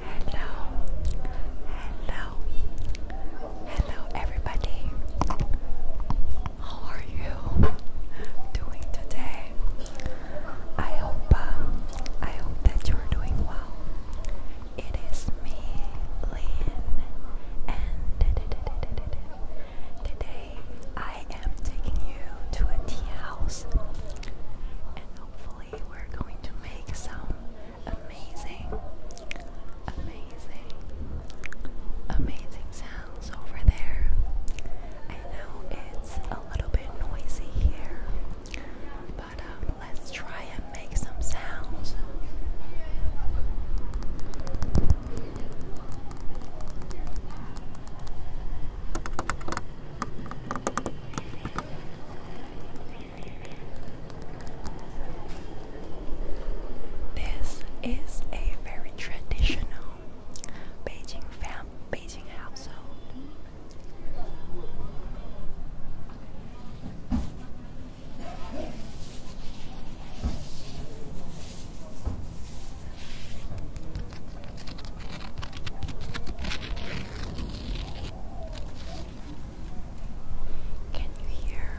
Hello, hello, hello, everybody. How are you doing today? I hope, uh, I hope that you're doing well. It is me, Lynn, and today I am taking you to a tea house, we're going to make some amazing, amazing, amazing sounds over there. I know it's a little bit noisy here, but um, let's try and make some sounds. This is a very traditional Beijing fam Beijing household. Can you hear?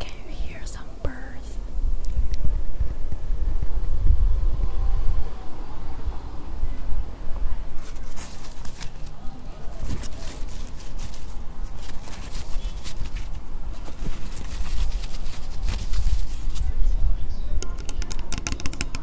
Can you hear some birds?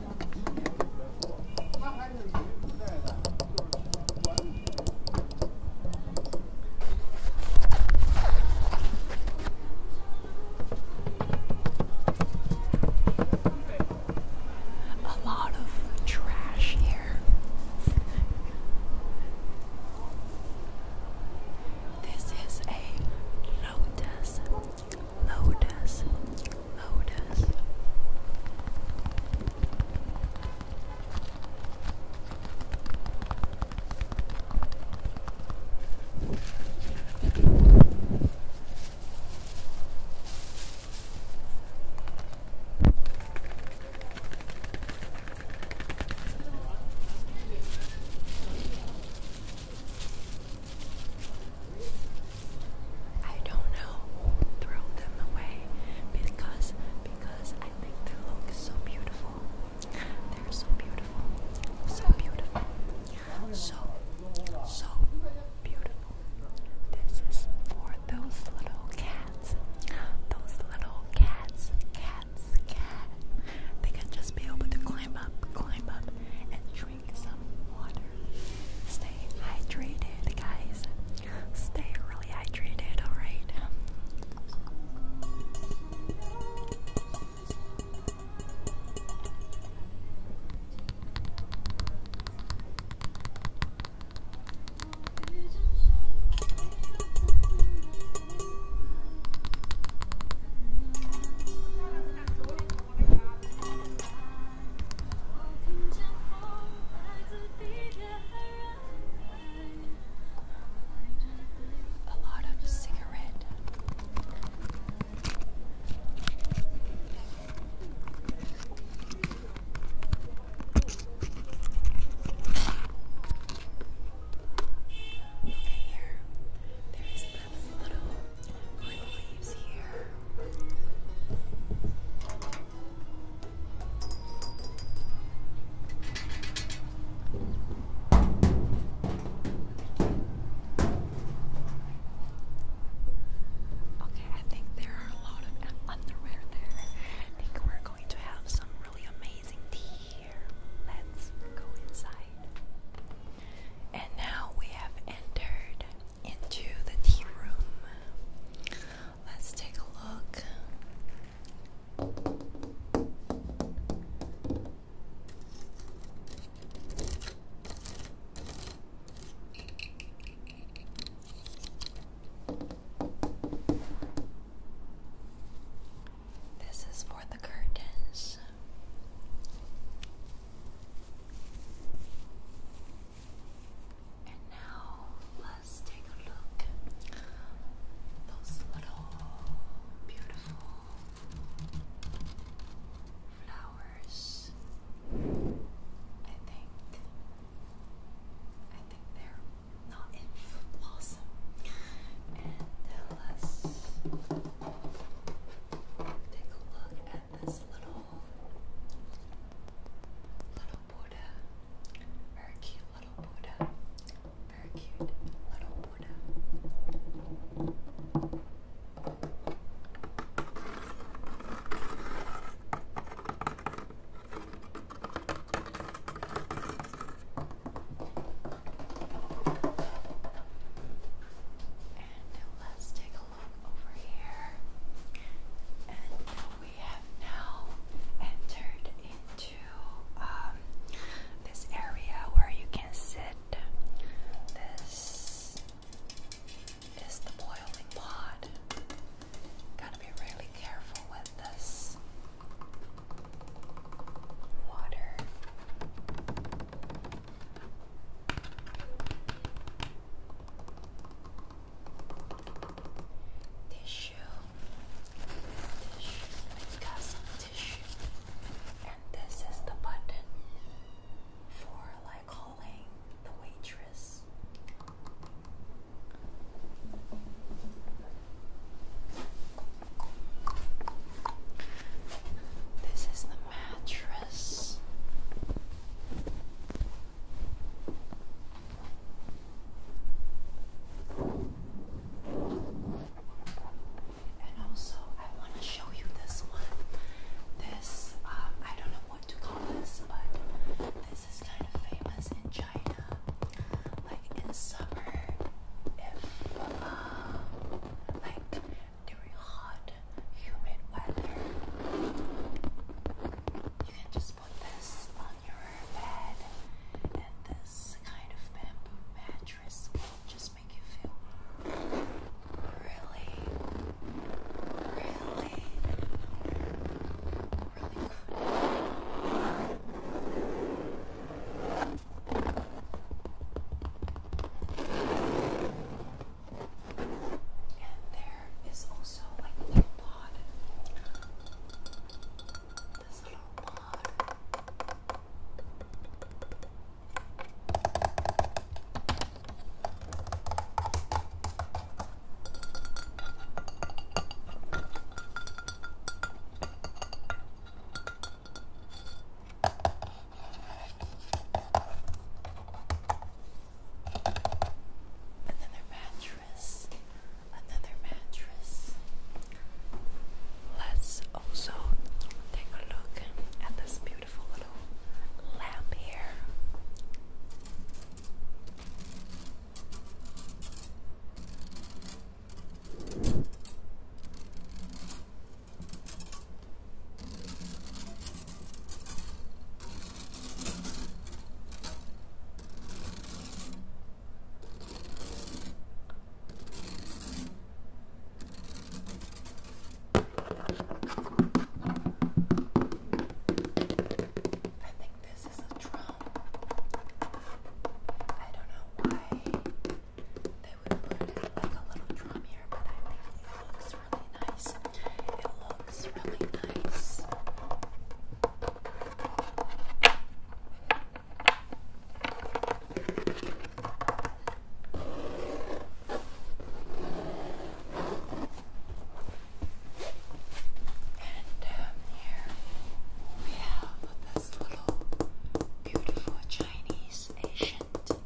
A lot of trash here. This is a lotus Lotus, Lotus. I don't know, throw them away because because I think they look so beautiful. They're so beautiful, so beautiful, so so beautiful. This is for those little cats, those little cats, cats, cat. They can just be able to climb up, climb up, and. Try drink some water. Stay hydrated, guys. Stay really hydrated, alright? A lot of cigarette. Okay, There is this little Okay, I think there are a lot of underwear there. I think we're going to have some really amazing tea here. Let's go inside. And now we have entered into the tea room. Let's take a look. This is for the curtains. And now let's take a look at those little beautiful flowers. I think I think they're not in blossom. And uh, us Take a look at this little little Buddha. Very cute little Buddha. Very cute little Buddha let's take a look over here. And we have now entered into um, this area where you can sit. This is the boiling pot. Gotta be really careful with this water. Tissue. Tissue. we tissue. And this is the button for like calling the waitress. This is the mattress. And also, I want to show you this one. This, um, I don't know what to call this, but this is kind of famous in China. Like in summer, if, uh, like during hot, humid weather. You can just put this on your bed, and this kind of bamboo mattress will just make you feel really, really, really good. And there is also like a little pod. This little pod. Another mattress. Another mattress. Let's also take a look at this beautiful little lamp here. I think this is a drum. I don't know why they would put in like a little drum here, but I think it looks really nice. It looks really nice. And down here we have this little beautiful Chinese ancient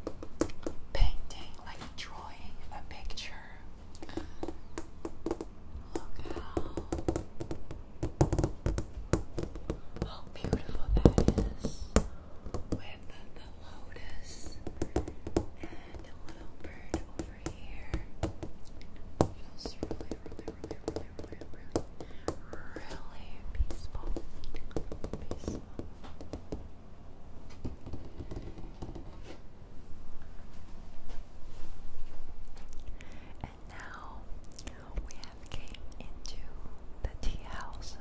painting, like drawing a picture. Look how, how beautiful that is with the, lotus and a little bird over here. Feels really, really, really, really really, really peaceful. And now we have came into the tea house.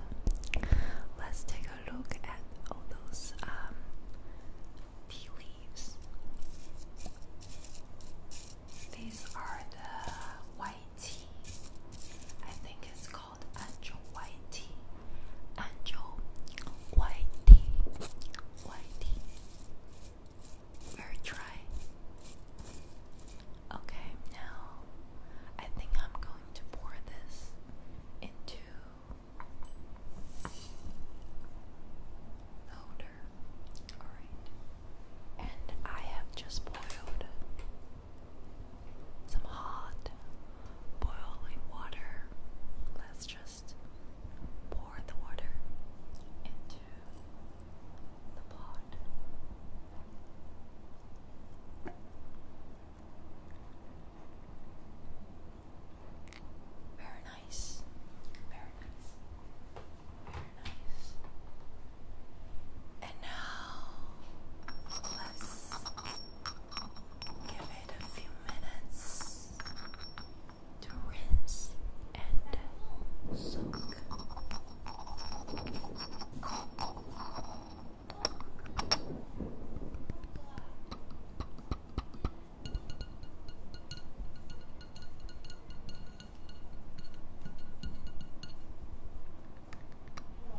Let's take a look at all those um, tea leaves. These are the white tea. I think it's called angel white tea. Angel white tea. White tea. Very dry. Okay, now I think I'm going to pour this into the Alright and I have just boiled some hot boiling water. Let's just pour the water into the pot. Very nice. Very nice. And now let's give it a few minutes to rinse and soak.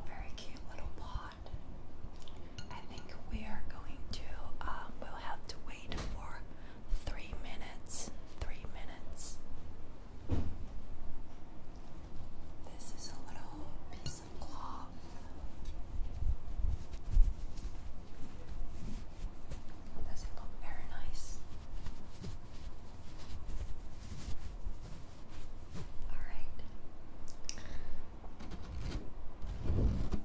Very cute little pot. I think we are going to, um, we'll have to wait for three minutes. Three minutes. This is a little piece of cloth. Does it look very nice? And after, I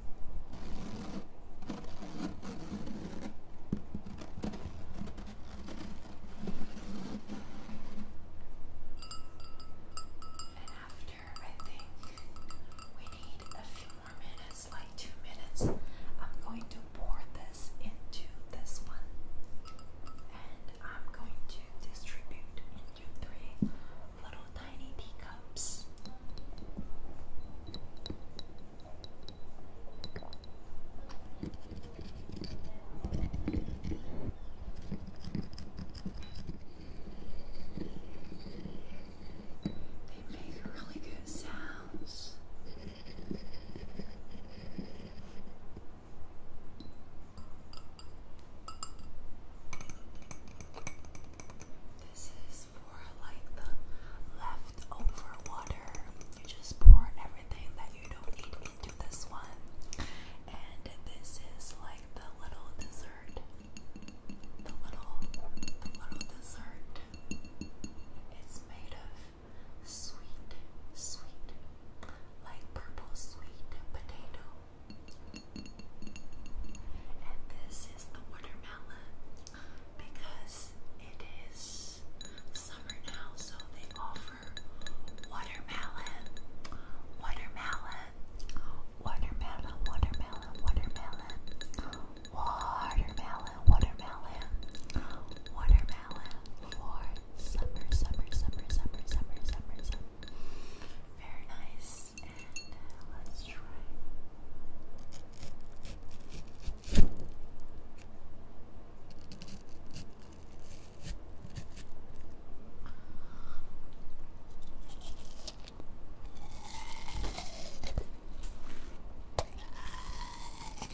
think we need a few more minutes, like two minutes, I'm going to pour this into this one and I'm going to distribute into three little tiny teacups. They make really good sounds. This is for like the leftover water. You just pour everything that you don't need into this one. And this is like the little dessert. The little the little dessert. It's made of sweet, sweet, like purple sweet potato. And this is the watermelon because it is summer now, so they offer watermelon, watermelon, watermelon, watermelon, watermelon, watermelon, watermelon, watermelon for summer, summer, summer, summer, summer, summer, summer. Very nice. Uh, let's try.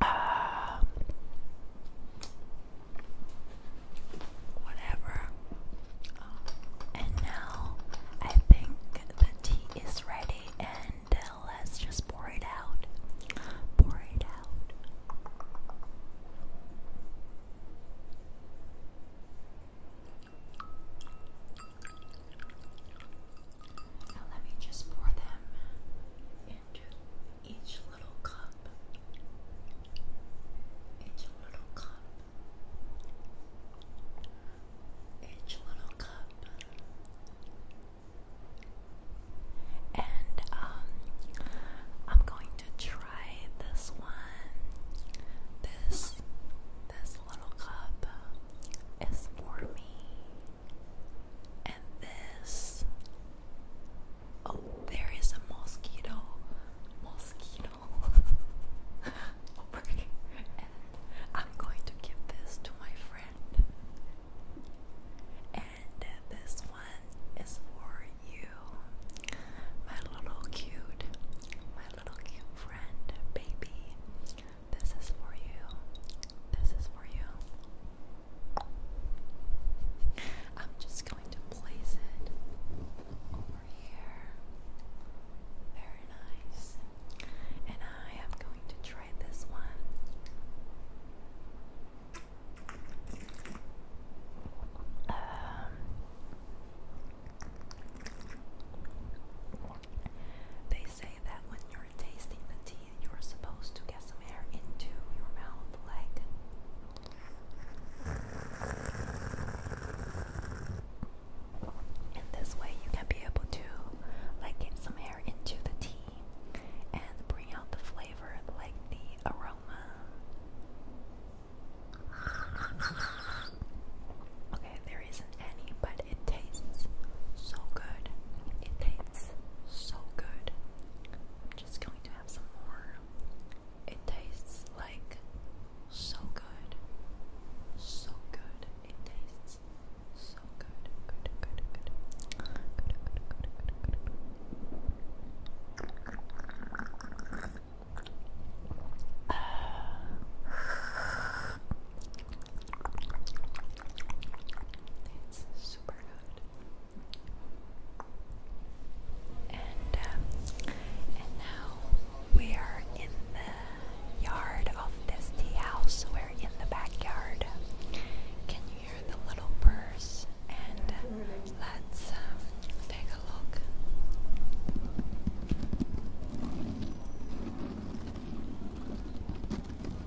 Uh, whatever. Um, and now I think the tea is ready, and uh, let's just pour it out. Pour it out. Now let me just pour them into each little cup. Each little cup. Each little cup. And um I'm going to try this one. This this little cup is for me. And this Oh, there is a mosquito. Mosquito. I'm going to give this to my friend. And this one is for you. My little cute, my little cute friend, baby. This is for you. This is for you. I'm just going to place it over here. Very nice. And I am going to try this one. Um, they say that when you're tasting the tea, you're supposed to get some air into your mouth, like. And this way, you can be able to, like, get some air into the tea and bring out the flavor, like the aroma. Okay, there isn't any, but it tastes so good. It tastes so good. I'm just going to have some more. It tastes like so good. So good. It tastes so good. Good, good, good. Good, good, good, good, good. Uh. It's super good. Um, and now we are in the yard of this tea house. We're in the backyard. Can you hear the little birds? And let's um, take a look.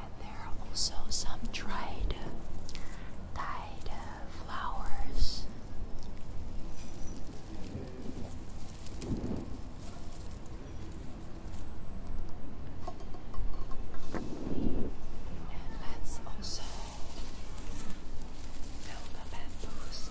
and there are also some dried, dyed uh, flowers. And let also fill bamboos.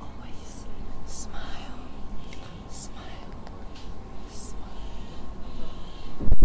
Always smile, smile, smile.